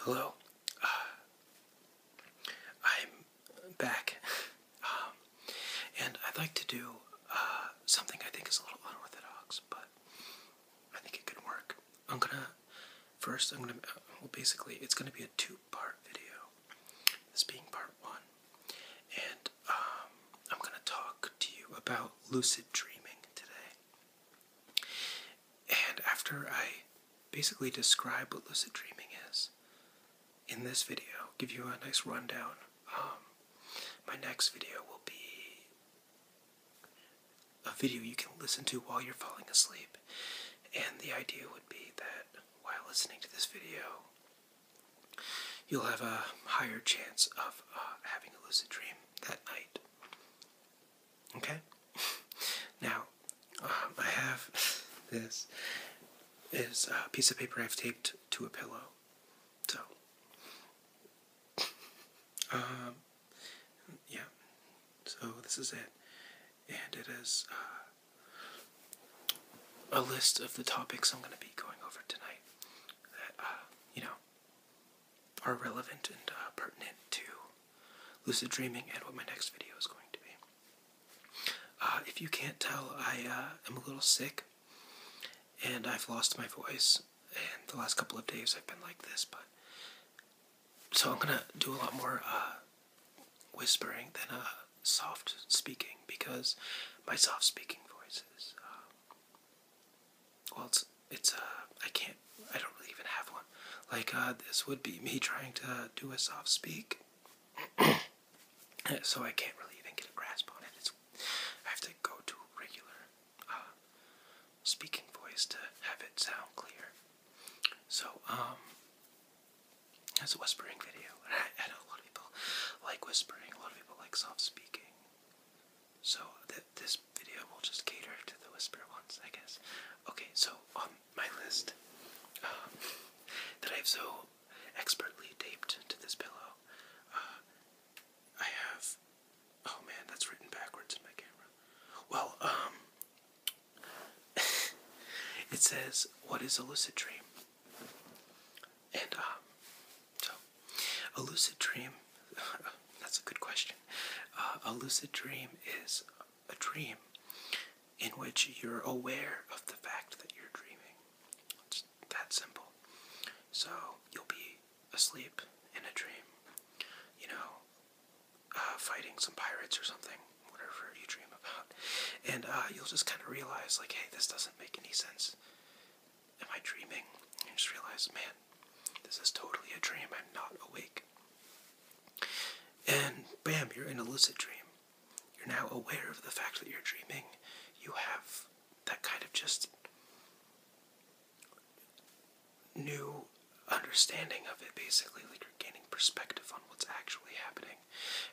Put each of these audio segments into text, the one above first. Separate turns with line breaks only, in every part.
Hello. Uh, I'm back. Um, and I'd like to do uh, something I think is a little unorthodox, but I think it could work. I'm gonna, first, I'm gonna, uh, well, basically, it's gonna be a two part video. This being part one. And um, I'm gonna talk to you about lucid dreaming today. And after I basically describe what lucid dreaming is in this video, give you a nice rundown, um, my next video will be a video you can listen to while you're falling asleep. And the idea would be that while listening to this video, you'll have a higher chance of uh, having a lucid dream that night. Okay? Now, um, I have this is a piece of paper I've taped to a pillow. So, um, yeah. So this is it, and it is uh, a list of the topics I'm going to be going over tonight. That, uh, you know, are relevant and uh, pertinent to lucid dreaming and what my next video is going to be. Uh, if you can't tell, I uh, am a little sick and I've lost my voice. And the last couple of days I've been like this, but so I'm gonna do a lot more whispering than soft speaking because my soft speaking voice is well, it's it's uh I can't I don't really even have one. Like uh, this would be me trying to do a soft speak, so I can't really even get a grasp on it. It's I have to go to regular uh, speaking voice to have it sound clear. So um, it's a whispering video, I, I know a lot of people like whispering. A lot of people like soft speaking. So this video will just cater to the whisper ones, I guess. Okay, so on my list um, that I've so expertly taped to this pillow, uh, I have. Oh man, that's written backwards in my camera. Well, um, it says, "What is a lucid dream?" And um, so a lucid dream, that's a good question. Uh, a lucid dream is a dream in which you're aware of the fact that you're dreaming. It's that simple. So you'll be asleep in a dream, you know, uh, fighting some pirates or something, whatever you dream about. And uh, you'll just kind of realize, like, hey, this doesn't make any sense. Am I dreaming? And you just realize, man, this is totally a dream. I'm not awake. And bam, you're in a lucid dream. You're now aware of the fact that you're dreaming. You have that kind of just new understanding of it, basically. Like you're gaining perspective on what's actually happening,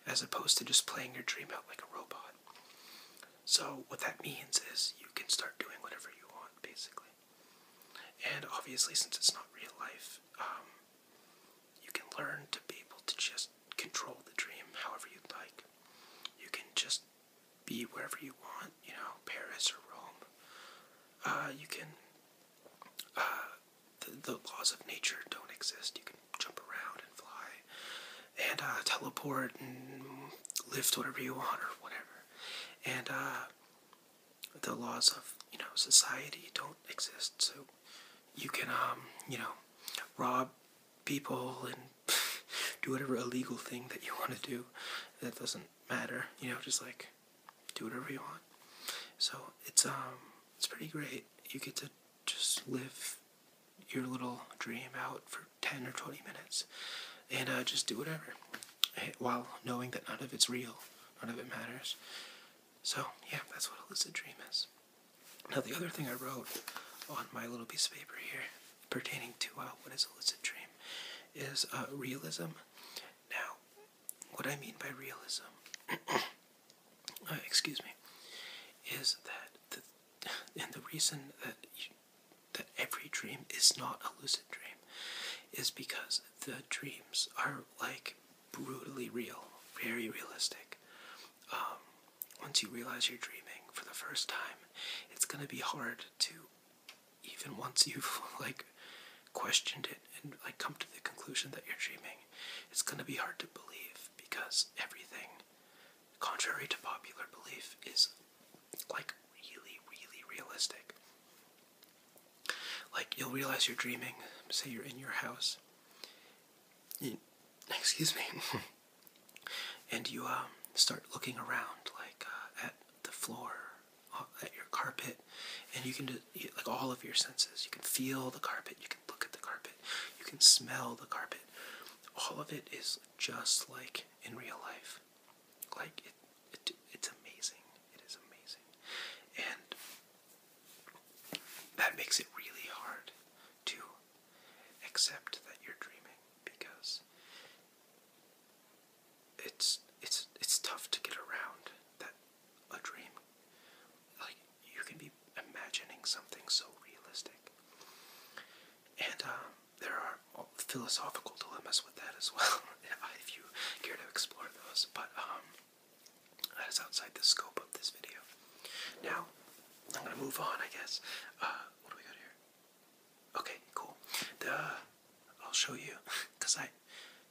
as opposed to just playing your dream out like a robot. So, what that means is you can start doing whatever you want, basically. And obviously, since it's not real life, um, you can learn to be able to just control the dream however you'd like. You can just be wherever you want, you know, Paris or Rome. Uh, you can. Uh, the, laws of nature don't exist. You can jump around and fly and uh, teleport and lift whatever you want or whatever. And the laws of you know society don't exist, so you can um, you know rob people and do whatever illegal thing that you want to do. That doesn't matter, you know. Just like do whatever you want. So it's um, it's pretty great. You get to just live your little dream out for 10 or 20 minutes and uh, just do whatever while knowing that none of it's real, none of it matters. So, yeah, that's what a lucid dream is. Now, the other thing I wrote on my little piece of paper here pertaining to uh, what is a lucid dream is uh, realism. Now, what I mean by realism, uh, excuse me, is that and the reason that you, that every dream is not a lucid dream is because the dreams are like brutally real, very realistic. Um, once you realize you're dreaming for the first time, it's gonna be hard to, even once you've like questioned it and like come to the conclusion that you're dreaming, it's gonna be hard to believe because everything, contrary to popular belief, is like really, really realistic. Like you'll realize you're dreaming. Say you're in your house. excuse me. and you um, start looking around, like uh, at the floor, uh, at your carpet, and you can do like all of your senses. You can feel the carpet. You can look at the carpet. You can smell the carpet. All of it is just like in real life. Like it, it's amazing. It is amazing, and that makes it really hard to accept that you're dreaming because it's it's it's tough to get around that a dream like you can be imagining something so realistic and um, there are philosophical dilemmas with that as well, if you care to explore those. But um, that is outside the scope of this video. Now, I'm gonna move on, I guess. Uh, what do we got here? Okay, cool. The I'll show you, cause I,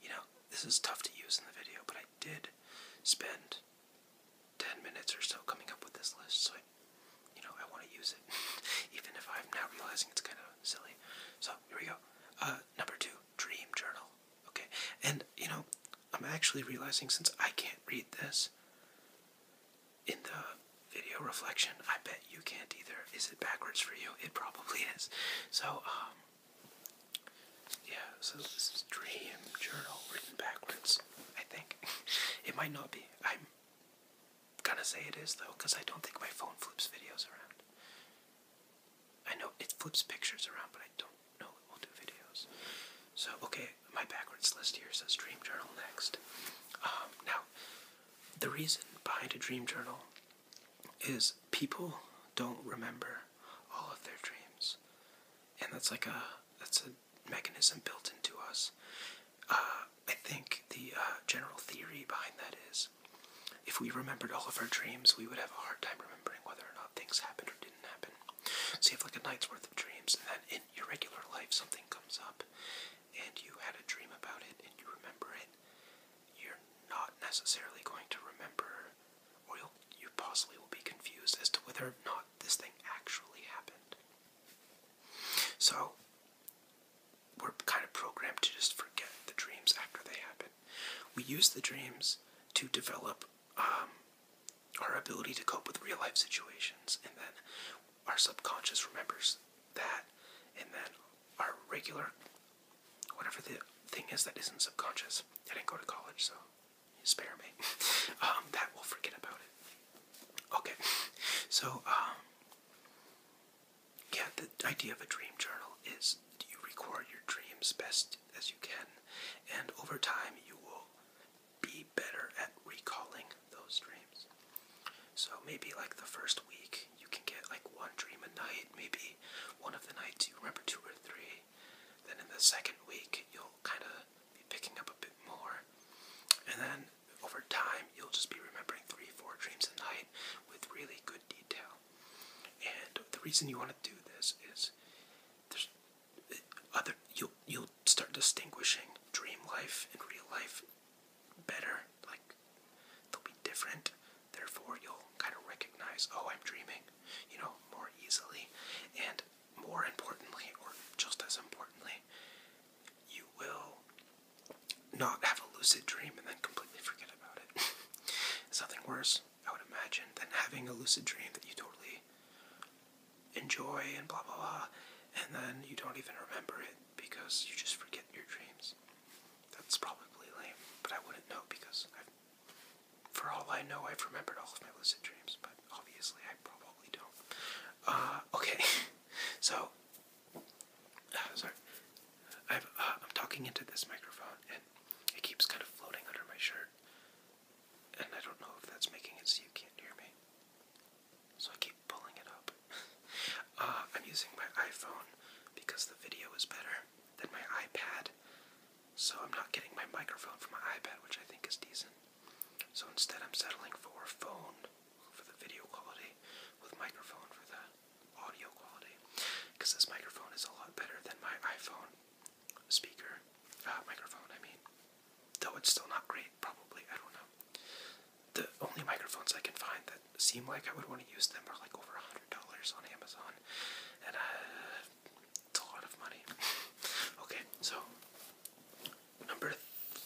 you know, this is tough to use in the video, but I did spend ten minutes or so coming up with this list, so I, you know, I want to use it, even if I'm now realizing it's kind of silly. So here we go. Uh, number two, dream journal. Okay, and you know, I'm actually realizing since I can't read this in the video reflection, I bet you can't either. Is it backwards for you? It probably is. So, um, yeah, so this is dream journal written backwards, I think. it might not be. I'm gonna say it is though, because I don't think my phone flips videos around. I know it flips pictures around, but I don't know it will do videos. So, okay, my backwards list here says Dream Journal next. Um, now, the reason behind a dream journal is people don't remember all of their dreams. And that's like a, that's a mechanism built into us. Uh, I think the uh, general theory behind that is if we remembered all of our dreams, we would have a hard time remembering whether or not things happened or didn't happen. So you like a night's worth of dreams, and then in your regular life, something comes up, and you had a dream about it, and you remember it. You're not necessarily going to remember, or you'll, you possibly will be confused as to whether or not this thing actually happened. So, we're kind of programmed to just forget the dreams after they happen. We use the dreams to develop um, our ability to cope with real life situations, and then our subconscious remembers that, and then our regular, whatever the thing is that isn't subconscious. I didn't go to college, so spare me. Um, that will forget about it. Okay, so um, yeah, the idea of a dream journal is you record your dreams best as you can, and over time you will be better at recalling those dreams. So maybe like the first week, you can get like one dream a night, maybe one of the nights you remember two or three. Then in the second week, you'll kind of be picking up a bit more. And then over time, you'll just be remembering three, four dreams a night with really good detail. And the reason you want to do this is there's uh, other you'll you'll start distinguishing dream life and real life better. Like they'll be different. Therefore, you'll kind of recognize, oh, I'm dreaming, you know, more easily. And more importantly, or just as importantly, you will not have a lucid dream and then completely forget about it. it's nothing worse, I would imagine, than having a lucid dream that you totally enjoy and blah blah blah, and then you don't even remember it because you just forget your dreams. That's probably lame, but I wouldn't know because for all I know, I've remembered all of my lucid dreams, but obviously I probably don't. Uh, okay, so Ah, sorry, i am uh, talking into this microphone and it keeps kind of floating under my shirt, and I don't know if that's making it so you can't hear me. So I keep pulling it up. Uh, I'm using my iPhone because the video is better than my iPad, so I'm not getting my microphone from my iPad, which I think is decent. So instead, I'm settling for phone for the video quality with microphone for the audio quality because this microphone is a lot better than my iPhone speaker uh, microphone. I mean, though it's still not great, probably I don't know. The only microphones I can find that seem like I would want to use them are like over a hundred dollars on Amazon, and uh, it's a lot of money. okay, so number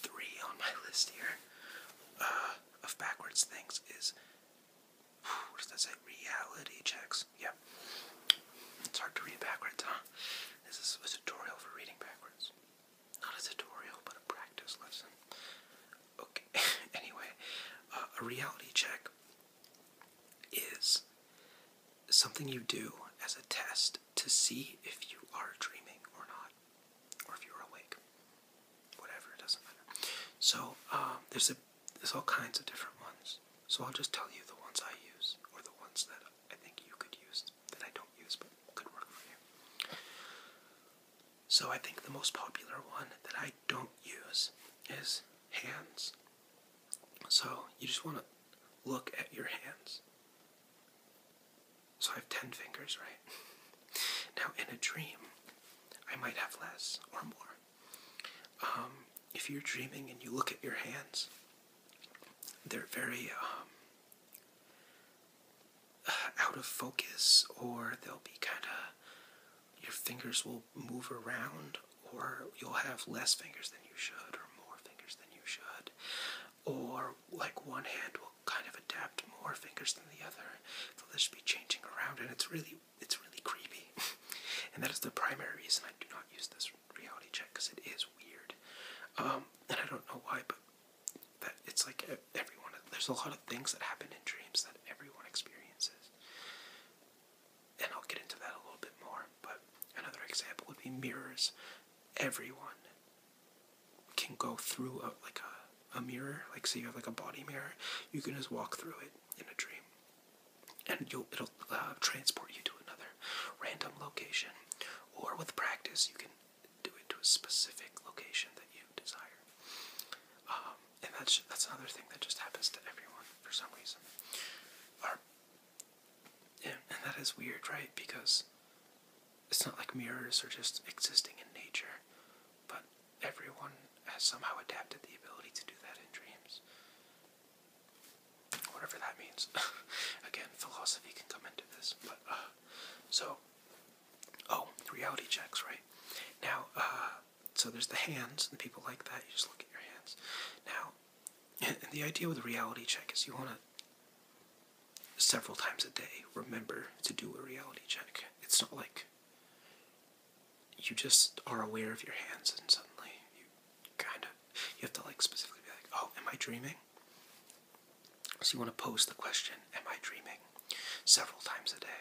three on my list here uh, of backwards things is what does that say? Reality checks. Yeah. It's hard to read backwards, huh? This is a tutorial for reading backwards. Not a tutorial, but a practice lesson. Okay. anyway, uh, a reality check is something you do as a test to see if you are dreaming or not, or if you're awake. Whatever, it doesn't matter. So, um, there's a there's all kinds of different ones. So I'll just tell you the ones I use, or the ones that I think you could use, that I don't use but could work for you. So I think the most popular one that I don't use is hands. So you just want to look at your hands. So I have 10 fingers, right? now in a dream, I might have less or more. Um, if you're dreaming and you look at your hands, they're very um, uh, out of focus, or they'll be kind of, your fingers will move around, or you'll have less fingers than you should, or more fingers than you should, or like one hand will kind of adapt more fingers than the other. So will just be changing around, and it's really it's really creepy. and that is the primary reason I do not use this reality check because it is weird. Um, and I don't know why, but that it's like everyone. There's a lot of things that happen in dreams that everyone experiences, and I'll get into that a little bit more. But another example would be mirrors. Everyone can go through a, like a a mirror. Like say you have like a body mirror, you can just walk through it in a dream and you it'll uh, transport you to another random location. Or with practice, you can do it to a specific location that you desire. Um, and that's that's another thing that just happens to everyone for some reason. and, and that is weird, right? Because it's not like mirrors are just existing in nature, but everyone has somehow adapted the ability to do that in dreams. Whatever that means. Again, philosophy can come into this, but uh, so oh, reality checks, right? Now, uh, so there's the hands, and people like that. You just look at your hands. Now, the idea with a reality check is you want to several times a day remember to do a reality check. It's not like you just are aware of your hands and suddenly you kind of you have to like specifically be like oh am i dreaming so you want to pose the question am i dreaming several times a day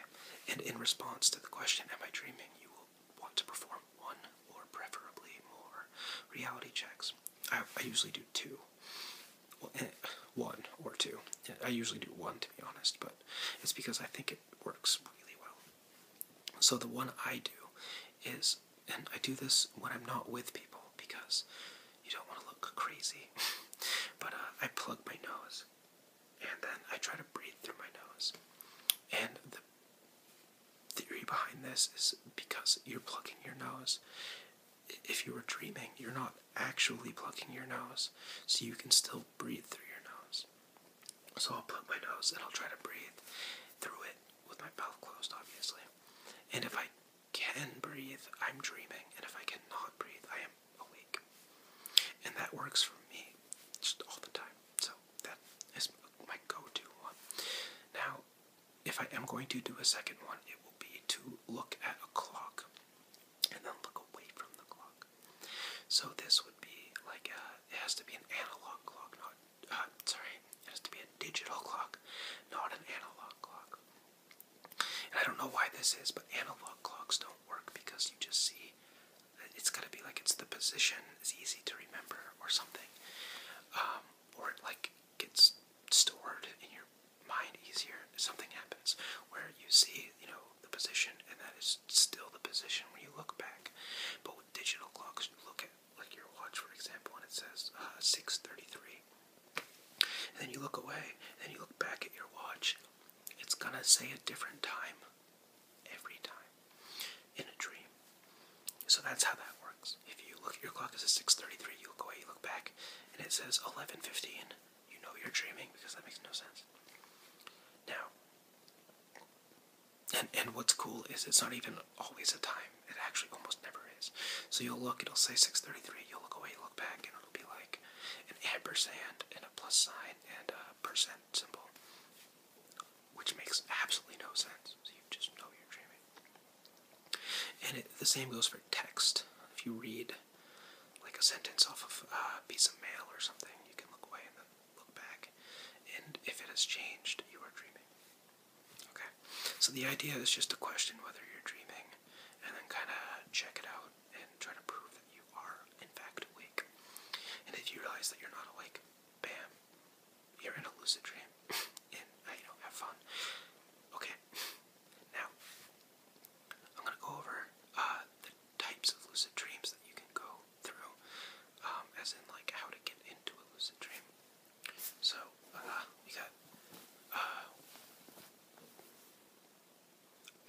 and in response to the question am i dreaming you will want to perform one or preferably more reality checks i, usually do two eh, one or two i usually do one to be honest but it's because i think it works really well so the one I do is, and I do this when I'm not with people because you don't want to look crazy, but uh, I plug my nose and then I try to breathe through my nose. And the theory behind this is because you're plugging your nose. If you were dreaming, you're not actually plugging your nose, so you can still breathe through your nose. So I'll put my nose and I'll try to breathe through it with my mouth closed, obviously. And if I can breathe, I'm dreaming. And if I cannot breathe, I am awake. And that works for me just all the time. So that is my go to one. Now, if I am going to do a second one, it will be to look at a clock and then look away from the clock. So this would be like a, it has to be an analog clock, not, uh, sorry, it has to be a digital clock, not an analog clock. And I don't know why this is, but analog clocks don't work because you just see, it's gotta be like it's the position is easy to remember or something. Um, or like gets stored in your mind easier. Something happens where you see, you know, the position and that is still the position where you look back. But with digital clocks, you look at like your watch, for example, and it says 6:33, uh, and then you look away, and then you look back at your watch. It's gonna say a different time every time in a dream. So that's how that works. If you look at your clock, it a 6:33. You look away, you look back, and it says 11:15. You know you're dreaming because that makes no sense. Now, and what's cool is it's not even always a time. It actually almost never is. So you'll look, it'll say 633. You'll look away, look back, and it'll be like an ampersand and a plus sign and a percent symbol, which makes absolutely no sense. So you just know you're dreaming. And the same goes for text. If you read like a sentence off of a piece of mail or something, you can look away and then look back, and if it has changed, you are dreaming. Okay? So the idea is just to question whether you're dreaming and then kind of check it out and try to prove that you are, in fact, awake. And if you realize that you're not awake, bam, you're in a lucid dream. and, uh, you know, have fun. Okay? Now, I'm going to go over uh, types of lucid dreams that you can go through, um, as in like how to get into a lucid dream. So uh, we got uh,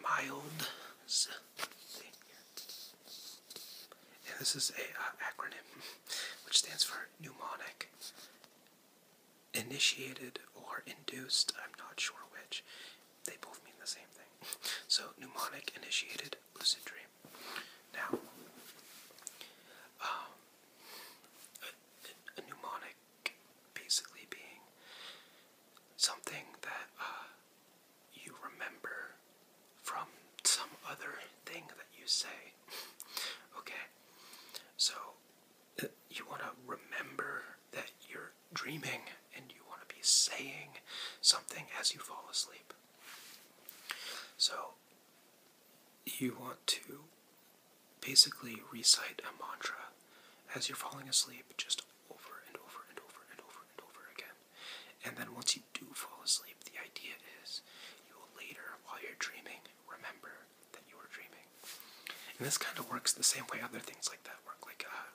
mild and this is a uh, acronym which stands for mnemonic, initiated or induced. I'm not sure which. They both mean the same thing. So, mnemonic initiated lucid dream. Now, um, a, mnemonic basically being something that uh, you remember from some other thing that you say. okay, so uh, you want to remember that you're dreaming and you want to be saying something as you fall asleep. So, you want to basically recite a mantra as you're falling asleep, just over and over and over and over and over again. And then once you do fall asleep, the idea is you will later, while you're dreaming, remember that you were dreaming. And this kind of works the same way other things like that work. Like uh,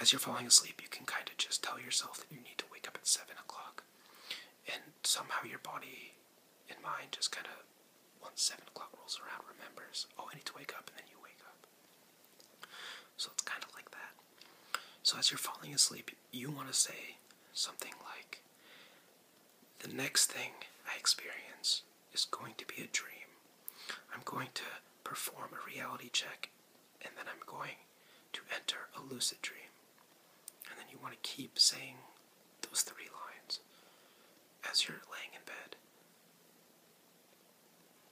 as you're falling asleep, you can kind of just tell yourself that you need to wake up at 7 o'clock. And somehow your body and mind just kind of, once 7 o'clock rolls around, remembers, oh, I need to wake up, and then you wake up. So it's kind of like that. So as you're falling asleep, you want to say something like, the next thing I experience is going to be a dream. I'm going to perform a reality check, and then I'm going to enter a lucid dream. And then you want to keep saying those three lines as you're laying in bed,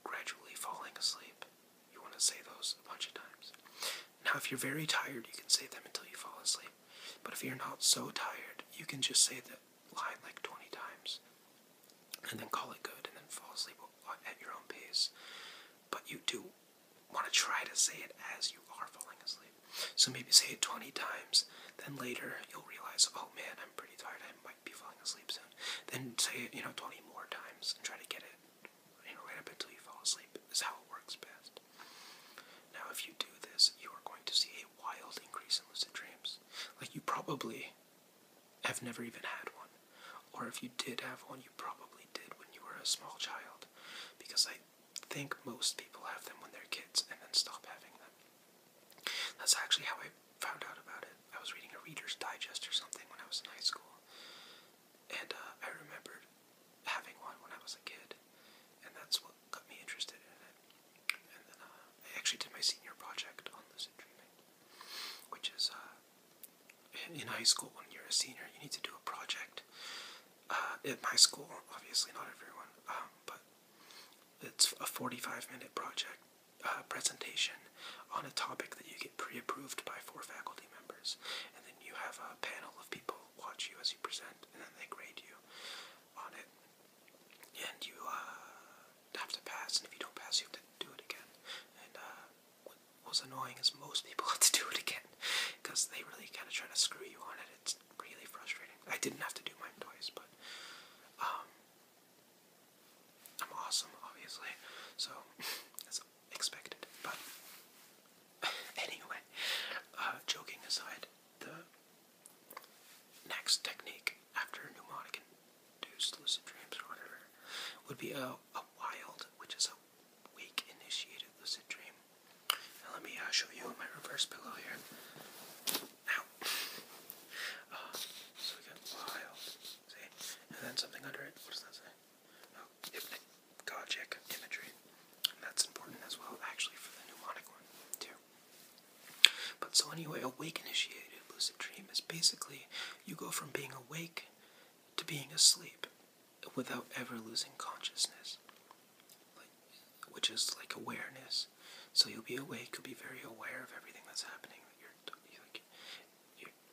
gradually falling asleep. You want to say those a bunch of times. Now, if you're very tired, you can say them until you fall asleep. But if you're not so tired, you can just say that line like 20 times and then call it good and then fall asleep at your own pace. But you do want to try to say it as you are falling asleep. So maybe say it 20 times, then later you'll realize, oh man, I'm pretty tired, I might be falling asleep soon. Then say it, you know, 20 more times and try to get it, you know, right up until you fall asleep, is how it works best. Now, if you do this, you are going to see a wild increase in lucid dreams. Like you probably have never even had one. Or if you did have one, you probably did when you were a small child, because I think most people have them when they're kids and then stop having them. That's actually how I found out about it. I was reading a Reader's Digest or something when I was in high school, and uh, I remembered having one when I was a kid, and that's what got me interested in it. And then uh, I actually did my senior project on lucid dreaming, which is uh, in high school when you're a senior, you need to do a project. Uh, at my school, obviously not everyone, um, but it's a 45 minute project uh, presentation on a topic that you get pre approved by four faculty members, and then you have a panel of people watch you as you present, and then they grade you on it. And you uh, have to pass, and if you don't pass, you have to do it again. Uh, what was annoying is most people had to do it again because they really kind of try to screw you on it. It's really frustrating. I didn't have to do mine twice, but um, I'm awesome, obviously, so that's expected. But anyway, uh, joking aside, the next technique after mnemonic induced lucid dreams or whatever would be a, a wild, which is a weak initiated lucid dream. Now let me uh, show you my reverse pillow here. Now, uh, so we got wild, see, and then something under it. What does that say? Oh, hypnagogic imagery. that's important as well, actually, for the mnemonic one too. But so anyway, awake initiated lucid dream is basically you go from being awake to being asleep without ever losing consciousness, which is like awareness. So you'll be awake, you'll be very aware of everything that's happening. You're,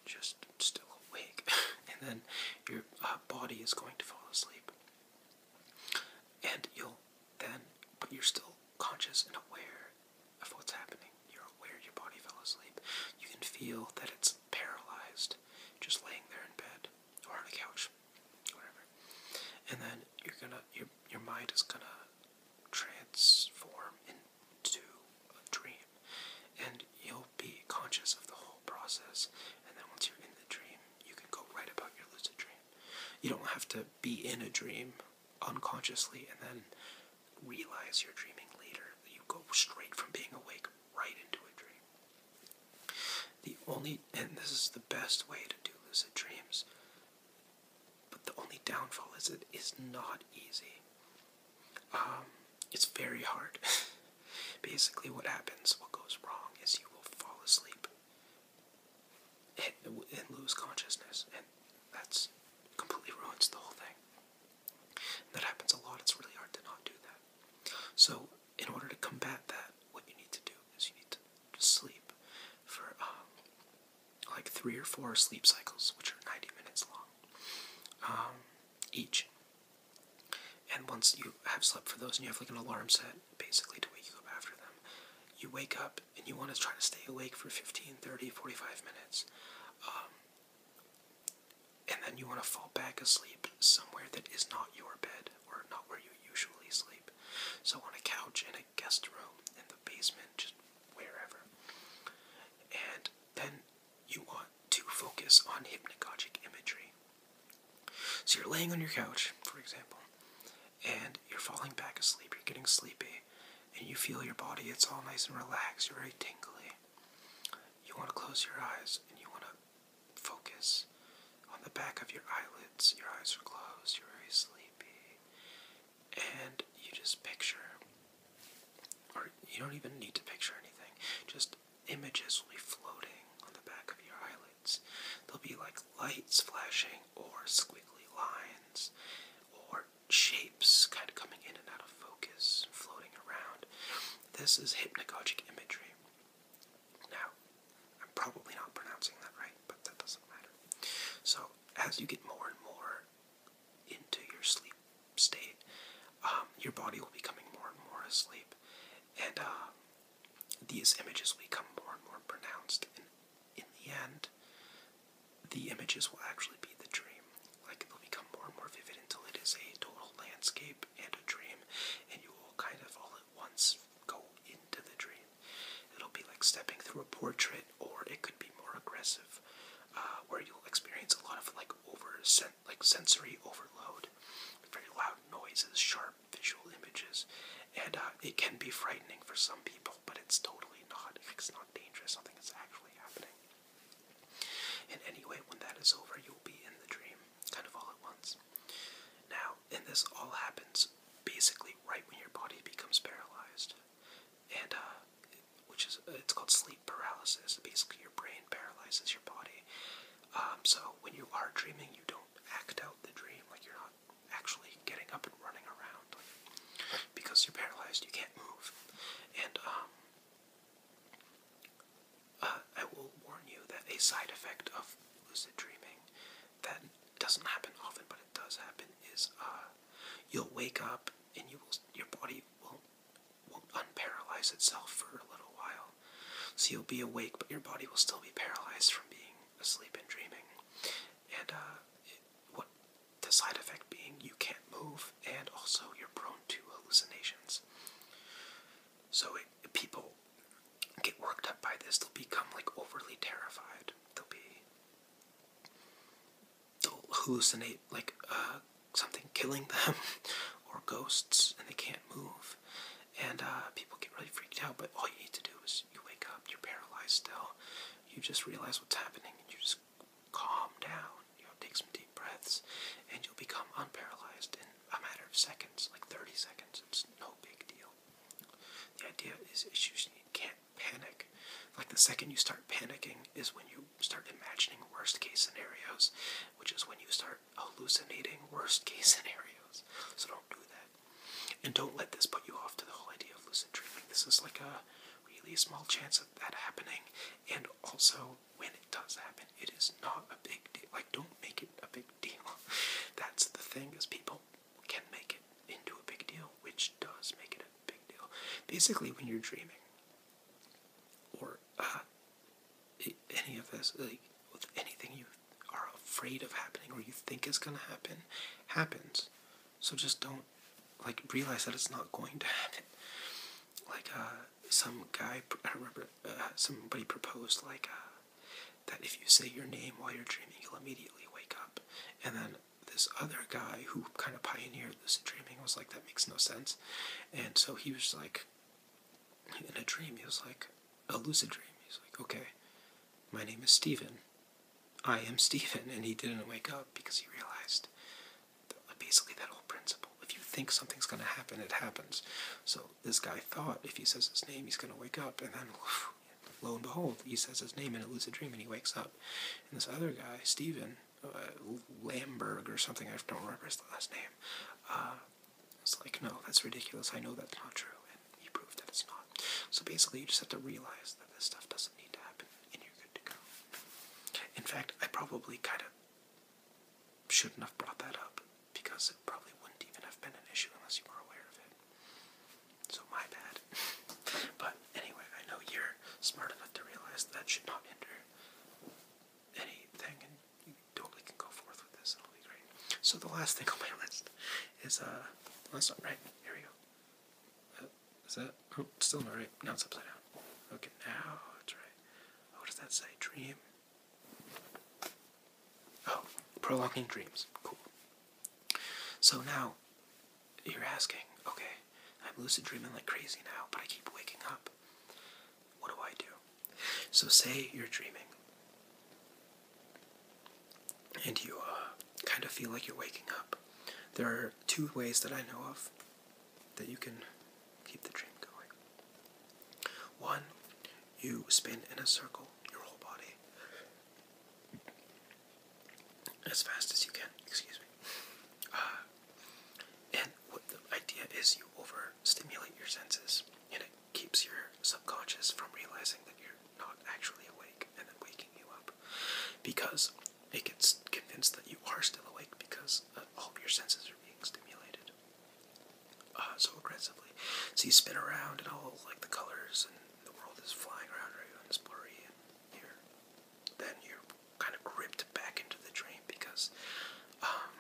just still awake, and then your uh, body is going to fall asleep, and you'll then, but you're still conscious and aware of what's happening. You're aware your body fell asleep. You can feel that it's paralyzed, just laying there in bed or on a couch, whatever. And then you're gonna your your mind is gonna transform into a dream, and you'll be conscious of the whole process. And then once you're in the dream, you can go right about your lucid dream. You don't have to be in a dream unconsciously and then realize you're dreaming later. You go straight from being awake right into a dream. The only, and this is the best way to do lucid dreams, but the only downfall is it is not easy. Um, it's very hard. Basically, what happens, what goes wrong, is you will fall asleep and, lose consciousness, and that's completely ruins the whole thing. that happens a lot. It's really hard to not do that. So in order to combat that, what you need to do is you need to sleep for um, like three or four sleep cycles, which are 90 minutes long um, each. And once you have slept for those and you have like an alarm set basically to wake you up after them, you wake up and you want to try to stay awake for 15, 30, 45 minutes. Um, and then you want to fall back asleep somewhere that is not your bed or not where you usually sleep. So on a couch in a guest room, in the basement, just wherever. And then you want to focus on hypnagogic imagery. So you're laying on your couch, for example, and you're falling back asleep, you're getting sleepy, and you feel your body, it's all nice and relaxed, you're very tingly. You want to close your eyes and you want to focus on the back of your eyelids. Your eyes are closed, you're very sleepy, and you just picture, or you don't even need to picture anything, just images will be floating on the back of your eyelids. They'll be like lights flashing, or squiggly lines, or shapes kind of coming in and out of focus, floating around. This is hypnagogic imagery. Now, I'm probably not pronouncing that right, but that doesn't matter. So, as you get more and more into your sleep state, um, your body will be coming more and more asleep, and uh, these images will become more and more pronounced. And in the end, the images will actually be the dream. Like, they'll become more and more vivid until it is a total landscape and a dream, and you will kind of all at once go into the dream. It'll be like stepping through a portrait, or it could be more aggressive, uh, where you'll experience a lot of like over sen like sensory overload, very loud noises, sharp visual images, and uh, it can be frightening for some people, but it's totally not. It's not dangerous. Nothing is actually happening. And anyway, when that is over, you'll be in the dream kind of all at once. Now, and this all happens basically right when your body becomes paralyzed, and uh, which is it's called sleep paralysis. Basically, your brain paralyzes your body. Um, so when you are dreaming, you don't act out the dream like you're not actually getting up and running around because you're paralyzed. You can't move, and um, uh, I will warn you that a side effect of lucid dreaming that doesn't happen often, but it does happen is uh, you'll wake up and you will your body will will unparalyze itself for a little while. So you'll be awake, but your body will still be paralyzed from being asleep and dreaming. And uh, what the side effect being, you can't move, and also you're prone to hallucinations. So it people get worked up by this, they'll become like overly terrified. They'll be, they'll hallucinate like uh, something killing them or ghosts, and they can't move. And uh, people get really freaked out. But all you need to do is you wake up, you're paralyzed still, you just realize what's happening, and you just calm down. You know, take some deep breaths, and you'll become unparalyzed a matter of seconds, like 30 seconds. It's no big deal. The idea is you can't panic. Like the second you start panicking is when you start imagining worst case scenarios, which is when you start hallucinating worst case scenarios. So don't do that. And don't let this put you off to the whole idea of lucid dreaming. This is like a really small chance of that happening. And also, when it does happen, it is not a big deal. Like, don't make it a big deal. That's the thing is people can make it into a big deal, which does make it a big deal. Basically, when you're dreaming or uh, any of this, with anything you are afraid of happening or you think is gonna happen, happens. So just don't like realize that it's not going to happen. Like uh, some guy, I remember uh, somebody proposed like. Uh, that if you say your name while you're dreaming, you'll immediately wake up. And then this other guy who kind of pioneered lucid dreaming was like, that makes no sense. And so he was like, in a dream, he was like, a lucid dream. He's like, okay, my name is Stephen. I am Stephen." And he didn't wake up because he realized basically that old principle. If you think something's going to happen, it happens. So this guy thought if he says his name, he's going to wake up. And then, lo and behold, he says his name in a lucid dream and he wakes up. And this other guy, Stephen uh, or something, I don't remember his last name, uh, It's like, no, that's ridiculous. I know that's not true. And he proved that it's not. So basically, you just have to realize that this stuff doesn't need to happen and you're good to go. In fact, I probably kind of shouldn't have brought that up because it probably wouldn't even have been an issue unless you were aware of it. So my bad. but anyway, I know you're smart enough to realize that, should not hinder anything, and you totally can go forth with this, and it'll be great. So the last thing on my list is uh, that's not right. Here we go. Uh, is that oh, still not right? Now it's upside down. Okay, now it's right. what does that say? Dream. Oh, prolonging dreams. Cool. So now, you're asking, okay, I'm lucid dreaming like crazy now, but I keep waking up. What do I do? So, say you're dreaming, and you uh, kind of feel like you're waking up. There are two ways that I know of that you can keep the dream going. One, you spin in a circle your whole body as fast as you can, excuse me. Uh, and what the idea is, you overstimulate your senses and it keeps your subconscious from realizing that you're not actually awake and then waking you up because it gets convinced that you are still awake because uh, all your senses are being stimulated. Uh, so aggressively. So you spin around and all like the colors and the world is flying around you and it's blurry and you're then you're kind of gripped back into the dream because um,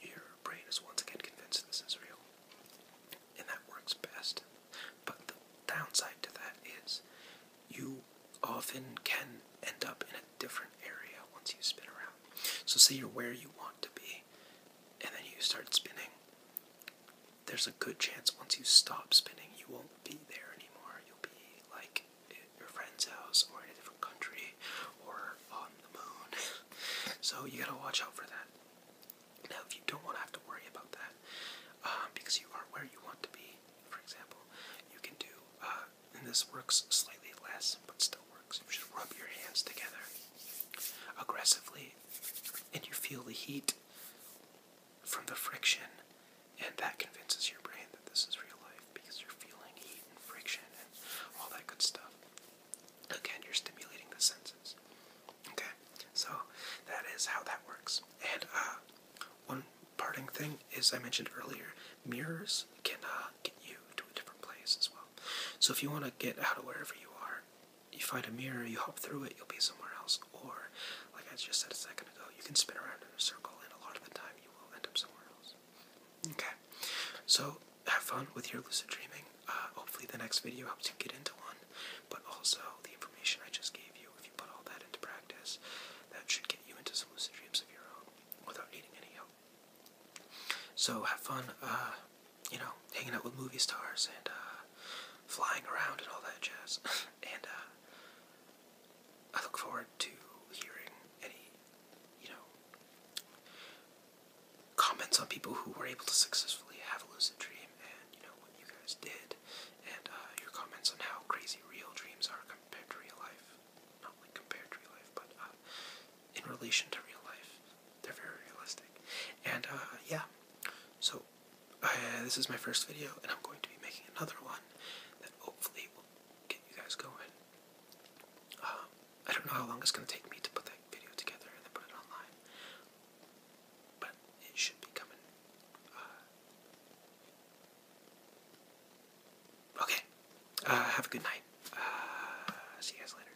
your brain is once again convinced this is real. And that works best. But the downside to that is you often can end up in a different area once you spin around. So say you're where you want to be and then you start spinning, there's a good chance once you stop spinning, you won't be there anymore. You'll be like at your friend's house or in a different country or on the moon. so you gotta watch out for that. Now, if you don't want to have to worry about that um, because you are where you want to be, for example, you can do, uh, and this works slightly less but still works, you just rub your hands together aggressively and you feel the heat from the friction, and that convinces your brain that this is real life because you're feeling heat and friction and all that good stuff. Again, you're stimulating the senses. Okay, so that is how that works. And uh, one parting thing is I mentioned earlier mirrors can uh, get you to a different place as well. So if you want to get out of wherever you are you find a mirror, you hop through it, you'll be somewhere else. Or, like I just said a second ago, you can spin around in a circle, and a lot of the time you will end up somewhere else. Okay, so have fun with your lucid dreaming. Uh, hopefully, the next video helps you get into one, but also the information I just gave you, if you put all that into practice, that should get you into some lucid dreams of your own without needing any help. So, have fun. Uh, you know, hanging out with movie stars and uh, flying around and all that jazz. and uh, I look forward to hearing any, you know, comments on people who were able to successfully have a lucid dream and, you know, what you guys did. And uh, your comments on how crazy real dreams are compared to real life. Not like compared to real life, but in relation to real life. They're very realistic. And uh, yeah, so uh, this is my first video, and I'm going to be making another one that hopefully will get you guys going. Um, I don't know how long it's going to take me to put that video together and then put it online, but it should be coming. Uh, okay, uh, have a good night. Uh, see you guys later.